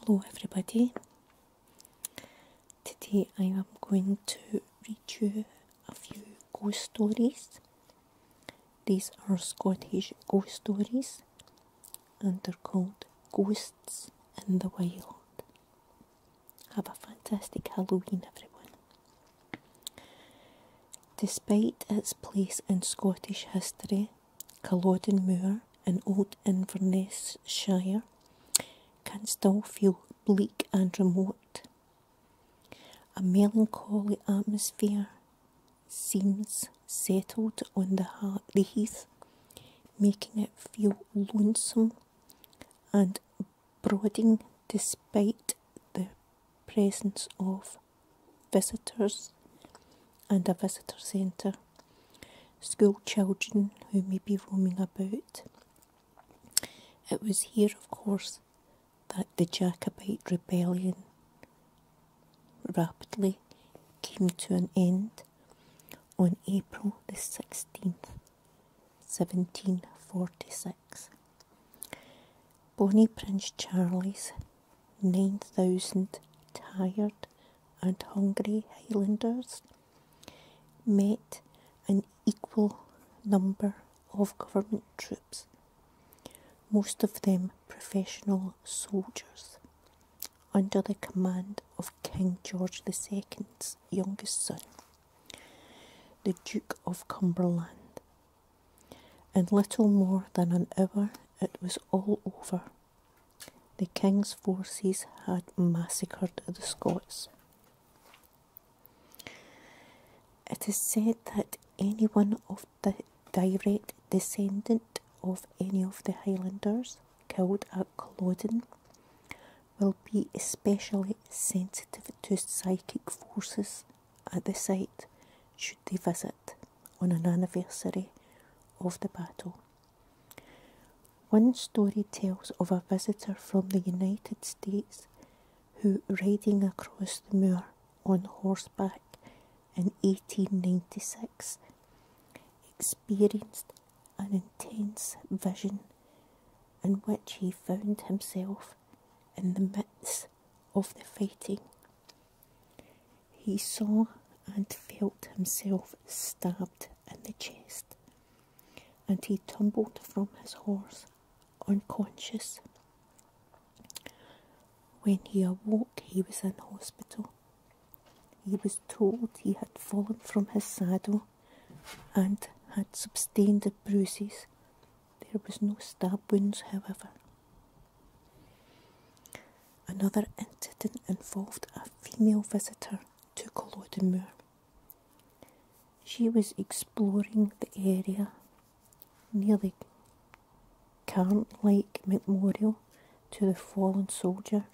Hello everybody. Today I am going to read you a few ghost stories these are Scottish ghost stories and they're called Ghosts in the Wild. Have a fantastic Halloween, everyone. Despite its place in Scottish history, Culloden Moor in Old Inverness Shire can still feel bleak and remote. A melancholy atmosphere seems settled on the, heath, making it feel lonesome and brooding despite the presence of visitors and a visitor centre, school children who may be roaming about. It was here, of course, that the Jacobite rebellion rapidly came to an end on April the 16th, 1746. Bonnie Prince Charlie's 9,000 tired and hungry Highlanders met an equal number of government troops most of them professional soldiers, under the command of King George II's youngest son, the Duke of Cumberland. In little more than an hour, it was all over. The king's forces had massacred the Scots. It is said that any one of the direct descendant of any of the Highlanders killed at Culloden will be especially sensitive to psychic forces at the site should they visit on an anniversary of the battle. One story tells of a visitor from the United States who, riding across the moor on horseback in 1896 experienced an intense vision in which he found himself in the midst of the fighting. He saw and felt himself stabbed in the chest, and he tumbled from his horse unconscious. When he awoke, he was in hospital. He was told he had fallen from his saddle and had sustained bruises. There was no stab wounds, however. Another incident involved a female visitor to Culloden Moor. She was exploring the area near the current lake memorial to the fallen soldier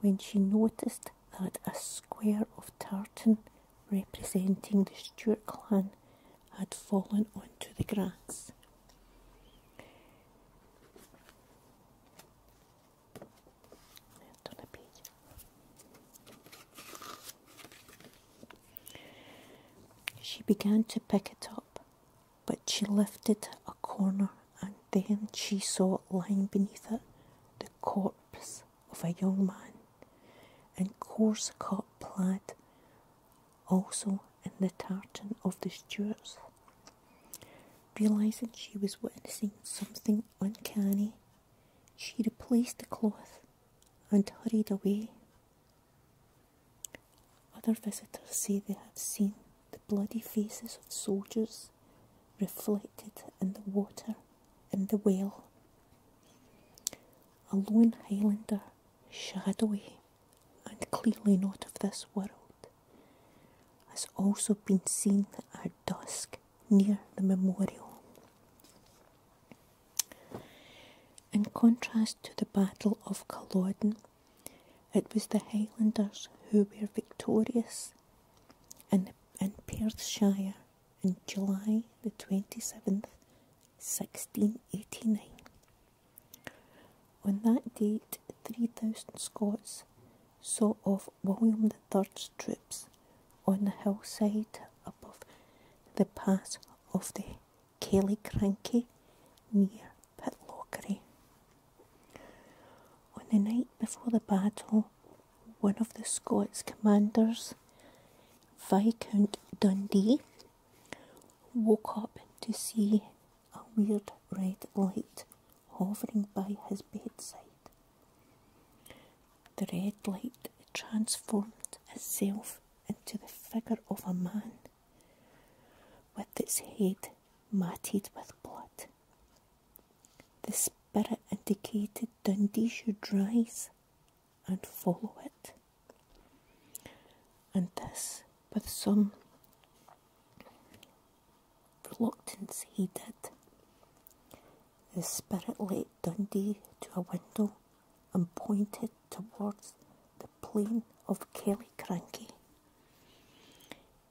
when she noticed that a square of tartan representing the Stuart clan had fallen onto the grass. She began to pick it up, but she lifted a corner and then she saw lying beneath it the corpse of a young man in coarse cut plaid, also in the tartan of the Stuarts. Realising she was witnessing something uncanny, she replaced the cloth and hurried away. Other visitors say they have seen the bloody faces of soldiers reflected in the water in the well. A lone Highlander, shadowy and clearly not of this world, has also been seen at dusk near the memorial. In contrast to the Battle of Culloden, it was the Highlanders who were victorious in, Perthshire in July the 27th, 1689. On that date, 3,000 Scots saw off William the III's troops on the hillside above the pass of the Kelly Cranky near Pitlochry. On the night before the battle, one of the Scots commanders, Viscount Dundee, woke up to see a weird red light hovering by his bedside. The red light transformed itself into the figure of a man, with its head matted with blood. The spirit indicated Dundee should rise and follow it. And this, with some reluctance, he did. The spirit led Dundee to a window and pointed towards the plain of Kelly Cranky.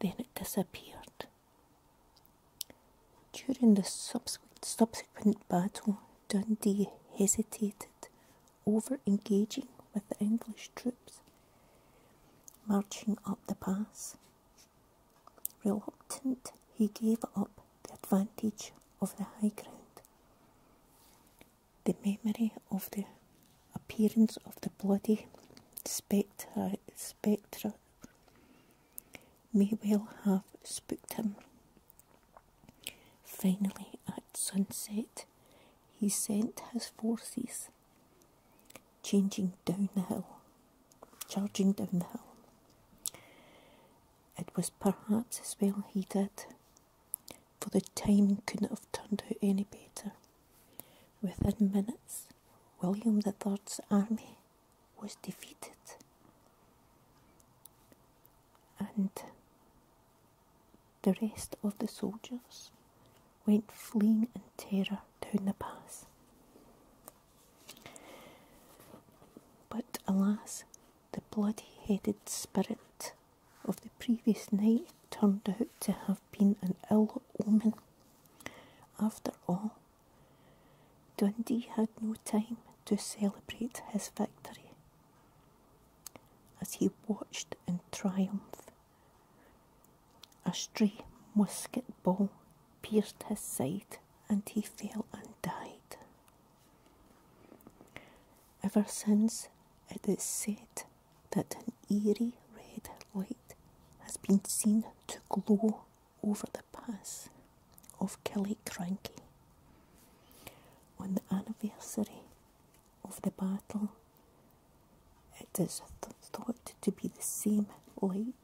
Then it disappeared. During the subsequent battle, Dundee hesitated over engaging with the English troops marching up the pass. Reluctant, he gave up the advantage of the high ground the memory of the appearance of the bloody spectra, may well have spooked him. Finally, at sunset, he sent his forces changing down the hill, charging down the hill. It was perhaps as well he did, for the timing couldn't have turned out any better. Within minutes, William III's army was defeated. And the rest of the soldiers went fleeing in terror down the pass. But alas, the bloody headed spirit of the previous night turned out to have been an ill omen. After all, Dundee had no time to celebrate his victory. As he watched in triumph, a stray musket ball pierced his side and he fell and died. Ever since it is said that an eerie red light has been seen to glow over the pass of Killiecrankie on the anniversary of the battle. It is thought to be the same light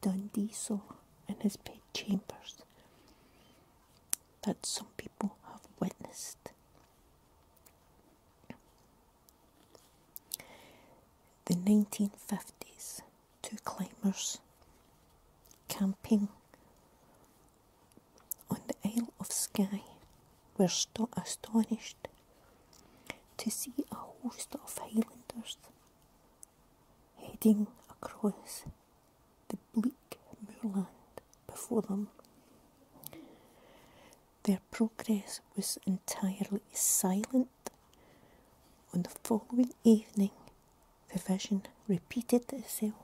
Dundee saw in his bed chambers that some people have witnessed. The 1950s, two climbers camping on the Isle of Skye were astonished to see a host of Highlanders heading across the bleak moorland before them. Their progress was entirely silent. On the following evening, the vision repeated itself,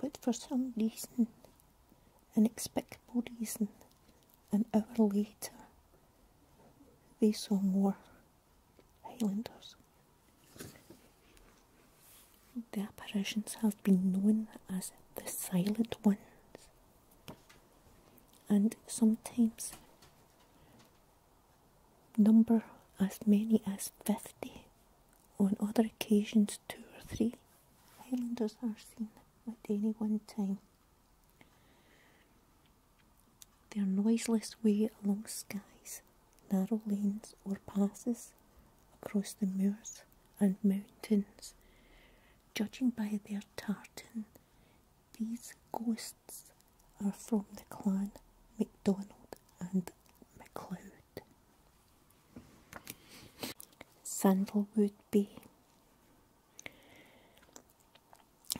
but for some reason, an explicable reason, an hour later, they saw more Highlanders. The apparitions have been known as the Silent Ones, and sometimes number as many as 50, on other occasions, two or three. Islanders are seen at any one time their noiseless way along skies, narrow lanes or passes, across the moors and mountains. Judging by their tartan, these ghosts are from the clan MacDonald and MacLeod. Sandalwood Bay.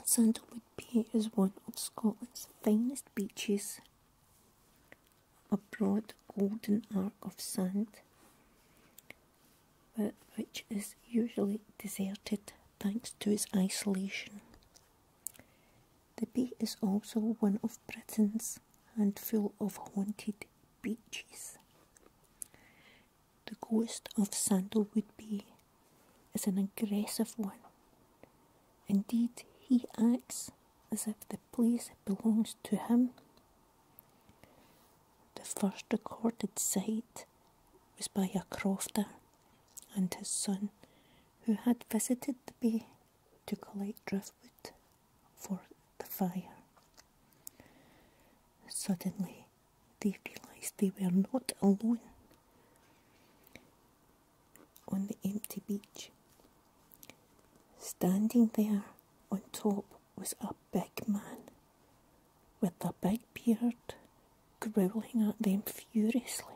Sandalwood Bay is one of Scotland's finest beaches a broad golden arc of sand, but which is usually deserted thanks to its isolation. The bay is also one of Britain's full of haunted beaches. The ghost of would be, is an aggressive one Indeed, he acts as if the place belongs to him. The first recorded sight was by a crofter and his son, who had visited the bay to collect driftwood for the fire. Suddenly, they realised they were not alone on the empty beach. Standing there on top was a big man with a big beard growling at them furiously.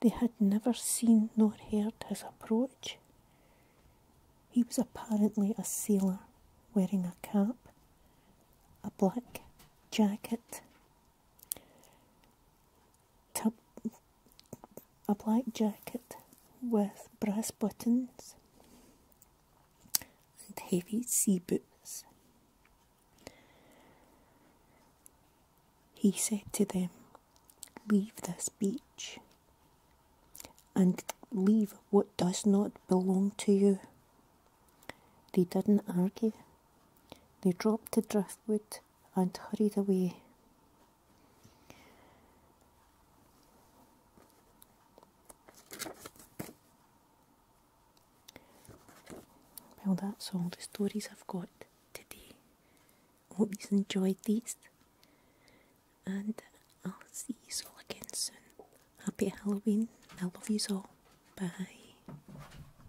They had never seen nor heard his approach. He was apparently a sailor wearing a cap, a black jacket, a black jacket with brass buttons and heavy sea boots. He said to them, Leave this beach and leave what does not belong to you. They didn't argue. They dropped the driftwood and hurried away. Well, that's all the stories I've got today. Hope you've enjoyed these, and I'll see you all again soon. Happy Halloween! I love you all. Bye.